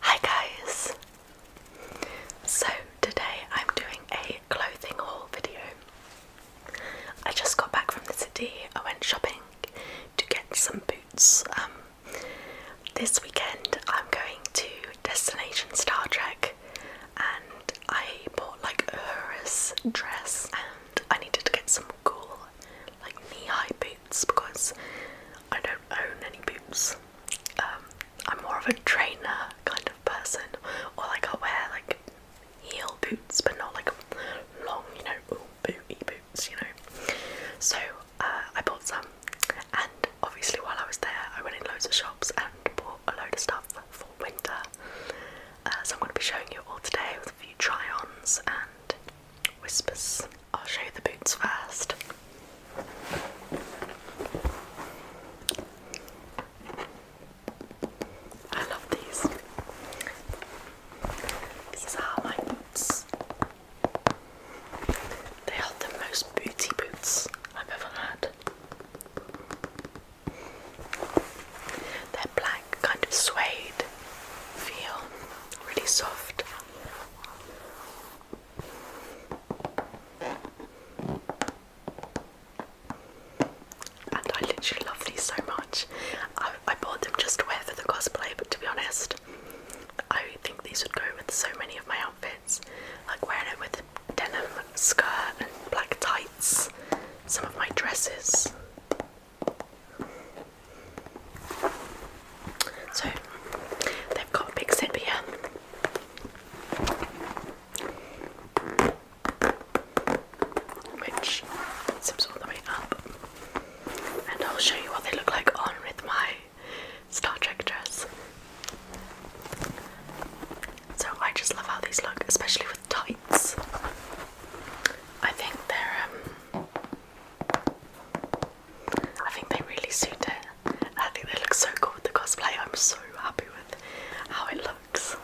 Hi guys! So today I'm doing a clothing haul video. I just got back from the city. I went shopping to get some boots. Um, this weekend I'm going to Destination Star Trek and I bought like a Uhura's dress and I needed to get some cool like knee-high boots boots because I don't own any boots. Um, I'm more of a trainer kind of person, or like I wear like heel boots, but not like long, you know, booty boots, you know. So uh, I bought some, and obviously while I was there, I went in loads of shops and bought a load of stuff for winter. Uh, so I'm going to be showing you all today with a few try-ons and whispers. I'll show you the boots first. I love these. These are my boots. They are the most booty boots I've ever had. They're black, kind of suede feel, really soft. And I literally love these so much. I, bought them just to wear for the cosplay, but to be honest, I think these would go with so many of my outfits. Like wearing it with denim skirt and black tights, some of my dresses. So they've got big sip Which sips all the way up, and I'll show you what they look like on with my Star Trek dress. So I just love how these look, especially with tights. I think they're um, I think they really suit it. I think they look so cool with the cosplay. I'm so happy with how it looks.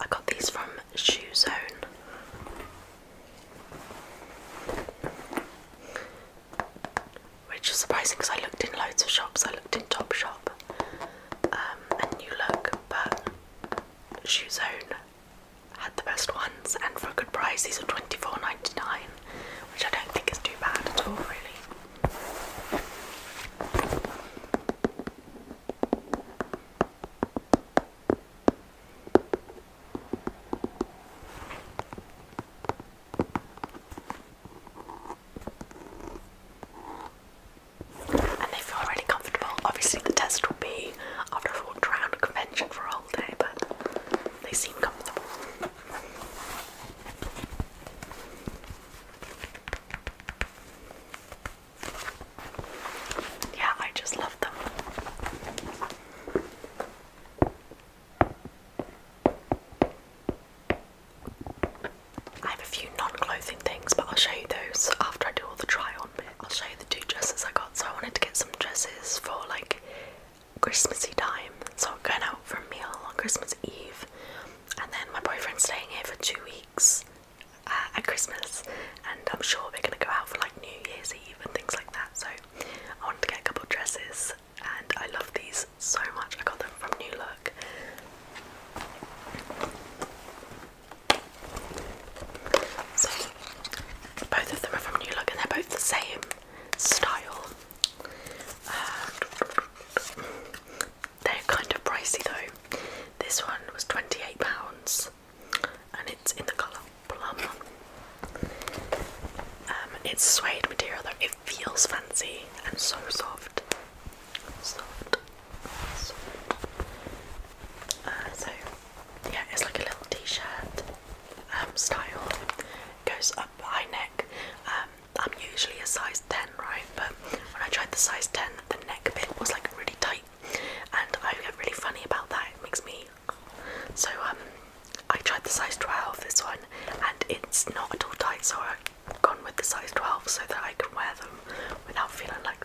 I got these from Shoe Zone. Which is surprising because I looked in loads of shops. I looked in Topshop um, and New Look, but Shoe Zone had the best ones and for a good price. These are twenty four ninety nine, which I don't think is too bad at all, really. And they feel really comfortable. Obviously, the test will be I've walked around a convention for a day, but they seem comfortable. Yeah, I just love them. I have a few non clothing things, but I'll show you those after I do all the try on. I'll show you the two dresses I got. So I wanted to get some dresses for like Christmassy time. So I'm going out for a meal on Christmas Eve, and then my boyfriend's staying here for two weeks uh, at Christmas, and I'm sure we're gonna go out for like New Year's Eve and things like that. So I wanted to get a couple dresses, and I love these so much. I got them from New Look. So both of them are from New Look and they're both the same style. Um, they're kind of pricey though. This one was £28 and it's in the colour plum. Um, it's suede material though, it feels fancy and so soft. Soft. soft. Uh, so yeah, it's like a little t-shirt um, style. Goes up high neck. Um, I'm usually a size 10, right? But when I tried the size 10, the neck bit was like really tight, and I get really funny about that. It makes me so. Um, I tried the size 12, this one, and it's not at all tight, so I've gone with the size 12 so that I can wear them without feeling like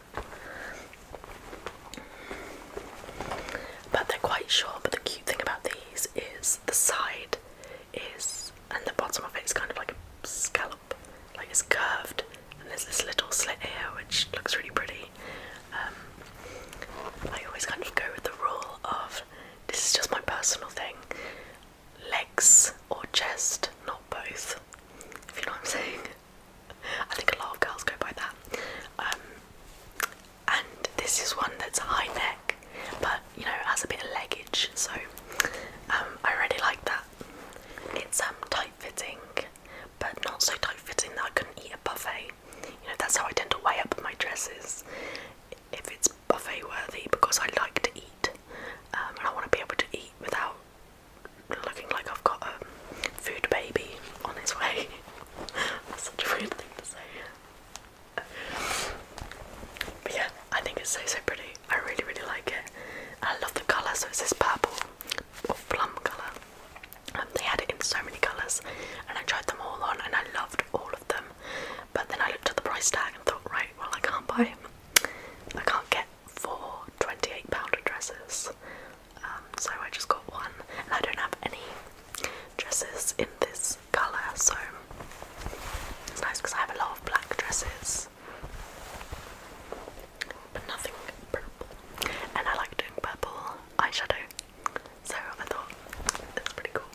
but they're quite short. But the cute thing about these is the side is, and the bottom of it is kind of like a scallop, like it's curved, and there's this little slit here which looks really pretty. Um, I always kind of go with the rule of this is just my personal thing legs or chest, not both, if you know what I'm saying. I think a lot of girls go by that. Um, and this is one that's high neck, but you know has a bit of leggage, so um, I really like that. It's um, tight fitting, but not so tight fitting that I couldn't eat a buffet. You know that's how I tend to weigh up my dresses if it's buffet worthy because I like to eat and I want to be able to eat without looking like I've got a food baby on its way. such a weird thing to say. But yeah, I think it's so so pretty. I really really like it. I love the colour, so it's this purple or plum colour. Um, they had it in so many colours and I tried them all on and I loved all of them. But then I looked at the price tag and thought, right, well I can't buy them. I can't get four £28 dresses. Um, so I just got one, and I don't have any dresses in this colour, so it's nice because I have a lot of black dresses, but nothing purple. And I like doing purple eyeshadow, so I thought that's pretty cool.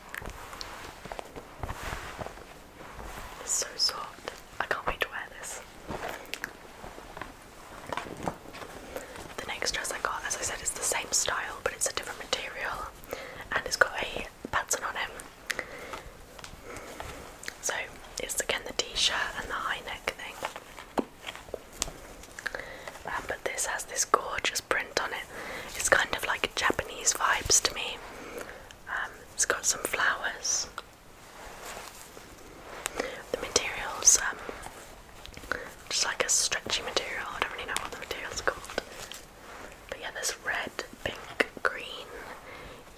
It's so soft. I can't wait to wear this. The next dress I got, as I said, it's the same style but it's a different material and it's got a pattern on it. So it's again the t shirt and the high neck thing. Um, but this has this gorgeous print on it. It's kind of like Japanese vibes to me. Um, it's got some flowers the material's um, just like a stretchy material. I don't really know what the material's called. But yeah, there's red, pink, green,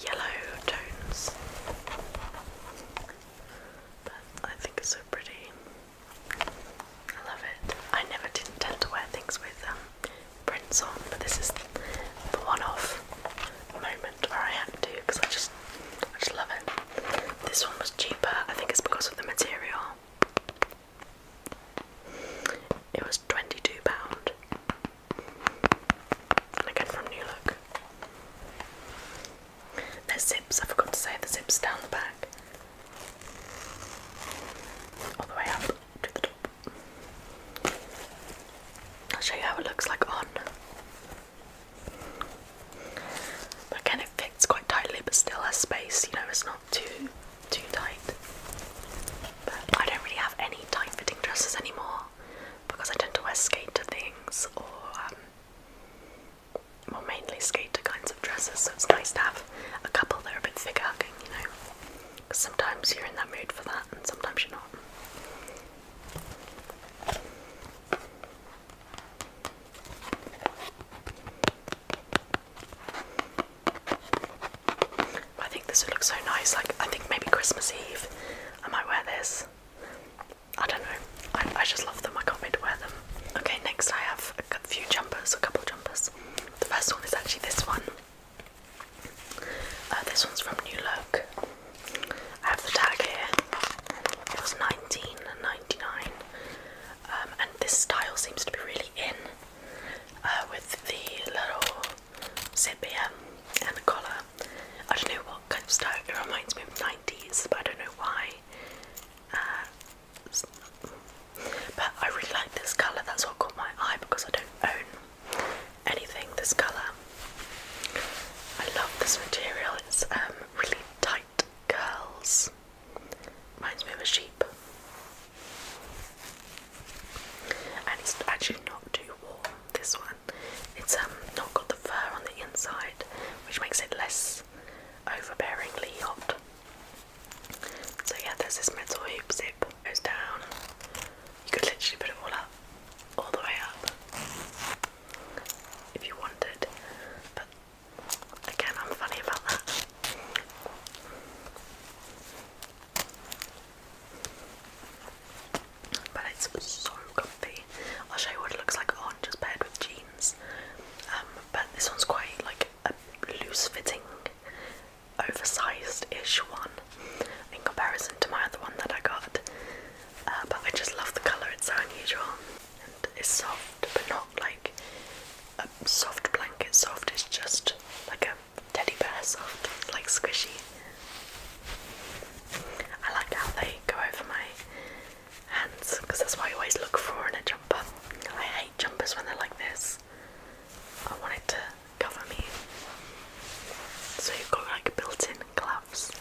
yellow tones. I think it's so pretty. I love it. I never tend to wear things with um, prints on, but this is the one off moment where I had to because I just I just love it. This one was cheaper, I think it's because of the material. It was £22. And again from New Look. There's zips, I forgot to say, the zips down the back. All the way up to the top. I'll show you how it looks like on again, it fits quite tightly, but still has space. You know, it's not too too tight. But I don't really have any tight-fitting dresses anymore because I tend to wear skater things or um, well, mainly skater kinds of dresses. So it's nice to have a couple that are a bit thicker You know, because sometimes you're in that mood for that, and sometimes you're not. I think this would look so nice. Like, I think maybe Christmas Eve I might wear this. I don't know. I, just love them. I can't wait to wear them. Okay, next I have a few jumpers, a couple jumpers. The first one is actually this one. Uh, this one's from New Look. I have the tag here. It was 19.99, um, and this style seems to be really in uh, with the little zip here um, and the collar. I don't know what kind of style. It reminds me of 90s, but I don't know why. Uh, but I really like this colour. That's what caught my eye because I don't own anything this colour. I love this material, it's um, really tight curls. Reminds me of a sheep. And it's actually not too warm, this one. It's um, not got the fur on the inside, which makes it less overbearingly hot. So yeah, there's this metal hoop zip. Goes down. You could literally put it all up, all the way up if you wanted. But again, I'm funny about that. But it's so comfy. I'll show you what it looks like on just paired with jeans. Um, but this one's quite like a loose-fitting, oversized-ish one in comparison to my other one that I got. Uh, but I just love the colour, it's so unusual and it's soft but not like a soft blanket soft, it's just like a teddy bear soft, like squishy. I like how they go over my hands because that's what I always look for in a jumper. I hate jumpers when they're like this. I want it to cover me. So you've got like built-in cloud. The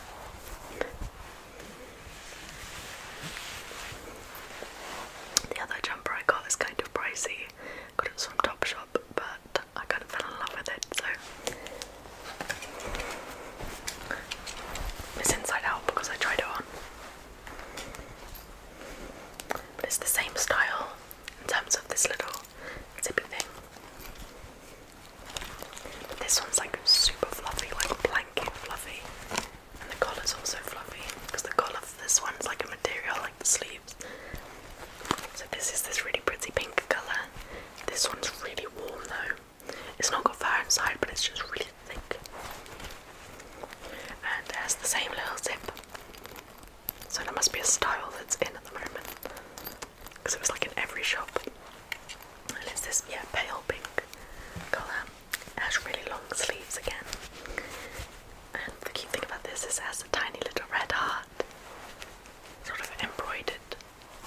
other jumper I got is kind of pricey. Got it from Topshop, but I kind of fell in love with it, it's inside out because I tried it on. But it's the same style in terms of this little zippy thing. This one's like super fluffy, like blanket fluffy. And the collar's also fluffy because the collar of this one's like a material like the sleeves. So this is this really pretty pink colour. This one's really warm though. It's not got fur inside but it's just really thick. And has the same little zip. So there must be a style that's in at the moment because it was like in every shop. And it's this yeah pale pink colour. It has really long sleeves again. And the cute thing about this is it has a tiny little red heart sort of embroidered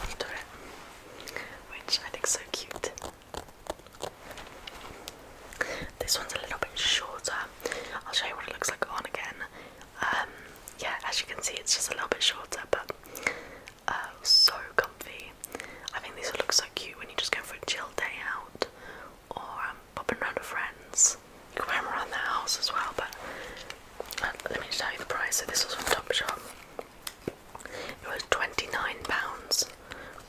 onto it, which I think's so cute. This one's a little bit shorter. I'll show you what it looks like on again. Um, yeah, as you can see, it's just a little bit shorter, but uh, so comfy. I think these look so cute when you just go for a chill day out or um, popping around to friends. You can wear them around the house as well, but uh, let me just tell you the price. So this was from Topshop. It was £29,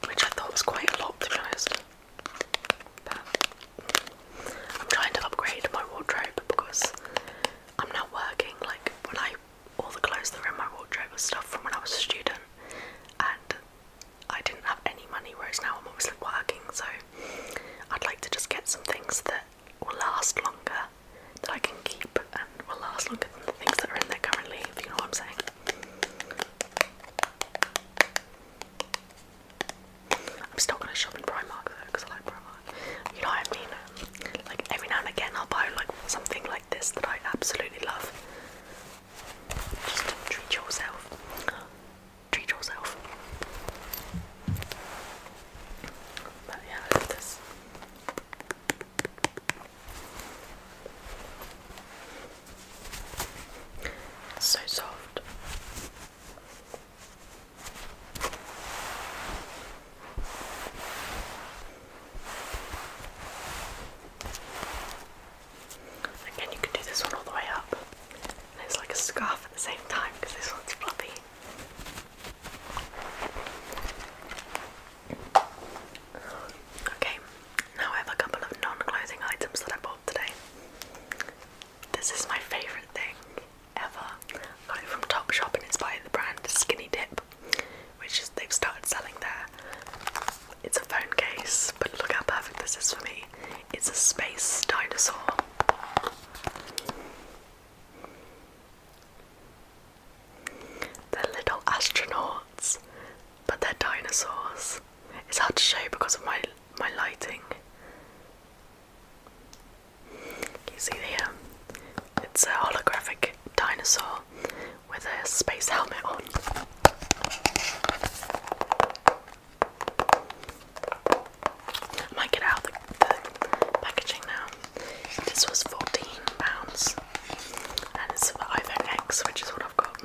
which I thought was quite a lot to be honest. But I'm trying to upgrade my wardrobe because I'm now working. Like when I all the clothes that were in my wardrobe was stuff from when I was a student, and I didn't have any money. Whereas now I'm obviously working, so I'd like to just get some things that will last longer, that I can keep, and will last longer than the things that are in there currently. If you know what I'm saying. I'm still gonna shop in Primark though, because I like Primark. You know what I mean? Like every now and again, I'll buy like something like this that I absolutely love. Just treat yourself. Treat yourself. But yeah, I love this. So soft. Again, you can do this one all the way up, it's like a scarf at the same time because this one's fluffy. Okay, now I have a couple of non clothing items that I bought today. This is my favourite thing ever. Got it from Topshop and it's by the brand Skinny Dip, which they've started selling there. It's a phone case, but look how perfect this is for me. It's a space dinosaur. They're little astronauts, but they're dinosaurs. It's hard to show because of my my lighting. You see here? Um, it's a holographic dinosaur with a space helmet on. I might get out the, packaging now. This was £14 and it's for iPhone X, which is what I've got.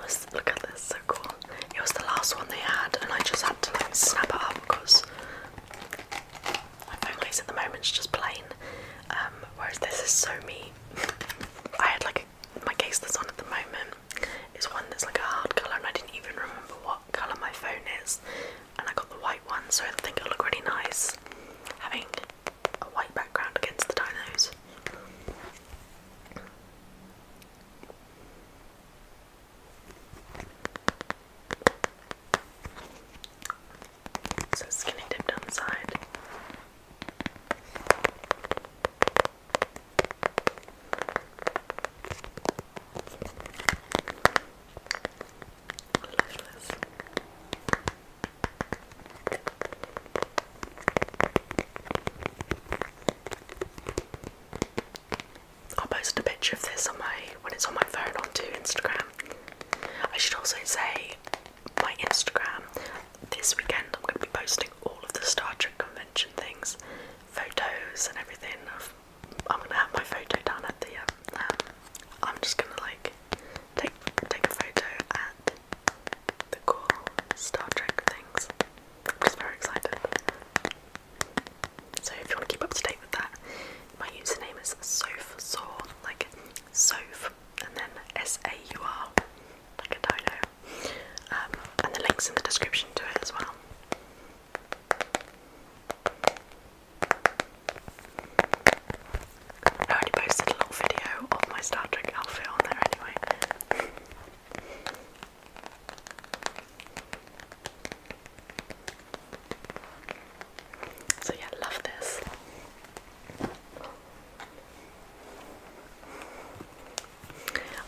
Let's look at this. It was the last one they had, and I just had to like snap it up because my phone case at the moment is just plain. Um, whereas this is so me. I had like a, my case that's on at the moment is one that's like a hard colour, and I didn't even remember what colour my phone is. And I got the white one, so I think it'll look really nice having a white background against the dinos. So skinny dipped on the side. Delicious. I'll post a picture of this on my when it's on my phone onto Instagram. I should also say my Instagram this weekend I'm gonna be posting all of the Star Trek convention things, photos and everything I'm gonna have my photo down at the um, I'm just gonna like take take a photo at the cool Star Trek things. I'm just very excited. So if you want to keep up to date with that, my username is SOFSAUR, like SOF, and then S-A-U-R, like a dino. Um, and the link's in the description to it as well. I already posted a little video of my Star Trek outfit on there anyway. So yeah, love this.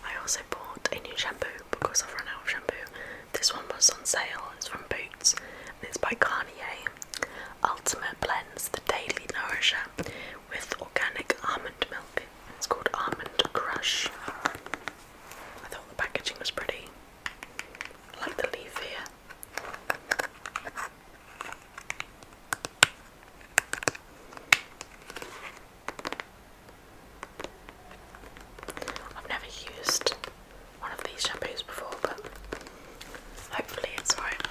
I also bought a new shampoo because I've run out of shampoo. This one was on sale, it's from Boots and it's by Garnier. Ultimate blends the Daily Nourisher with organic almond milk. It's called Almond Crush. I thought the packaging was pretty. like the leaf here. I've never used one of these shampoos before, but hopefully it's right.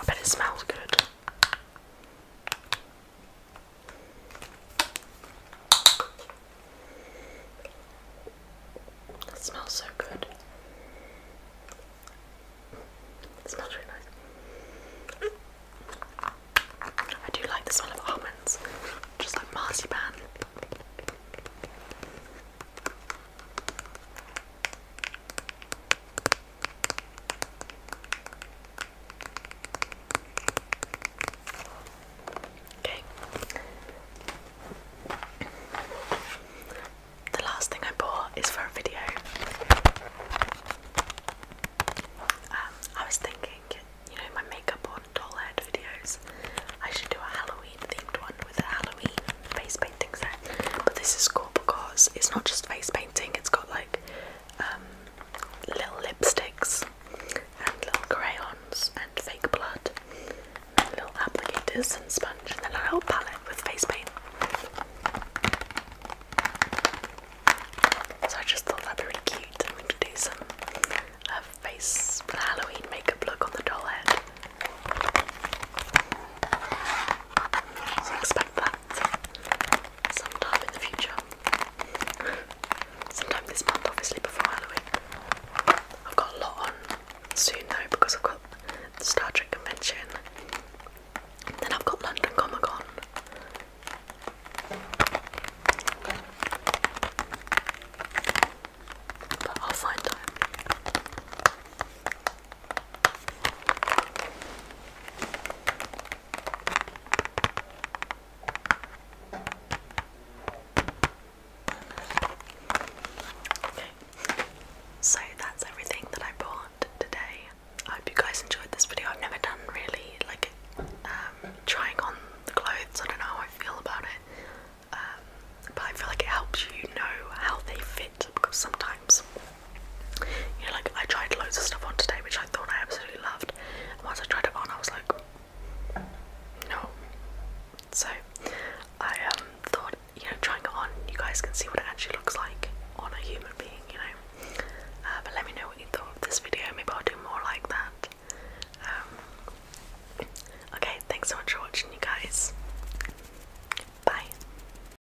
I bet it smells good. It smells so good. smells really nice. I do like the smell of almonds, just like marzipan. Okay. The last thing I bought is for a video. Um, I was thinking, you know, my makeup on doll head videos, I should do a Halloween themed one with a Halloween face painting set. But this is cool because it's not just face painting, it's got like um, little lipsticks and little crayons and fake blood, and little applicators and sponge, and then a little palette with face paint. So I just thought that'd be really cute. I'm going do some uh, Halloween makeup look on the doll head. So expect that sometime in the future. sometime this month, obviously, before Halloween. I've got a lot soon though because I've got the Star Trek convention. Then I've got London Comic Con. But I'll find time. So that's everything that I bought today. I hope you guys enjoyed this video. I've never done really like um, trying on the clothes. I don't know how I feel about it, um, but I feel like it helps you know how they fit because sometimes you know, like I tried loads of stuff on today which I thought I absolutely loved, and once I tried it on, I was like, no. So I um, thought, you know, trying it on, you guys can see what it actually looks like on a human being, you know. Uh, but let me know what you thought of this video. Maybe I'll do more like that. Um, okay, thanks so much for watching, you guys. Bye.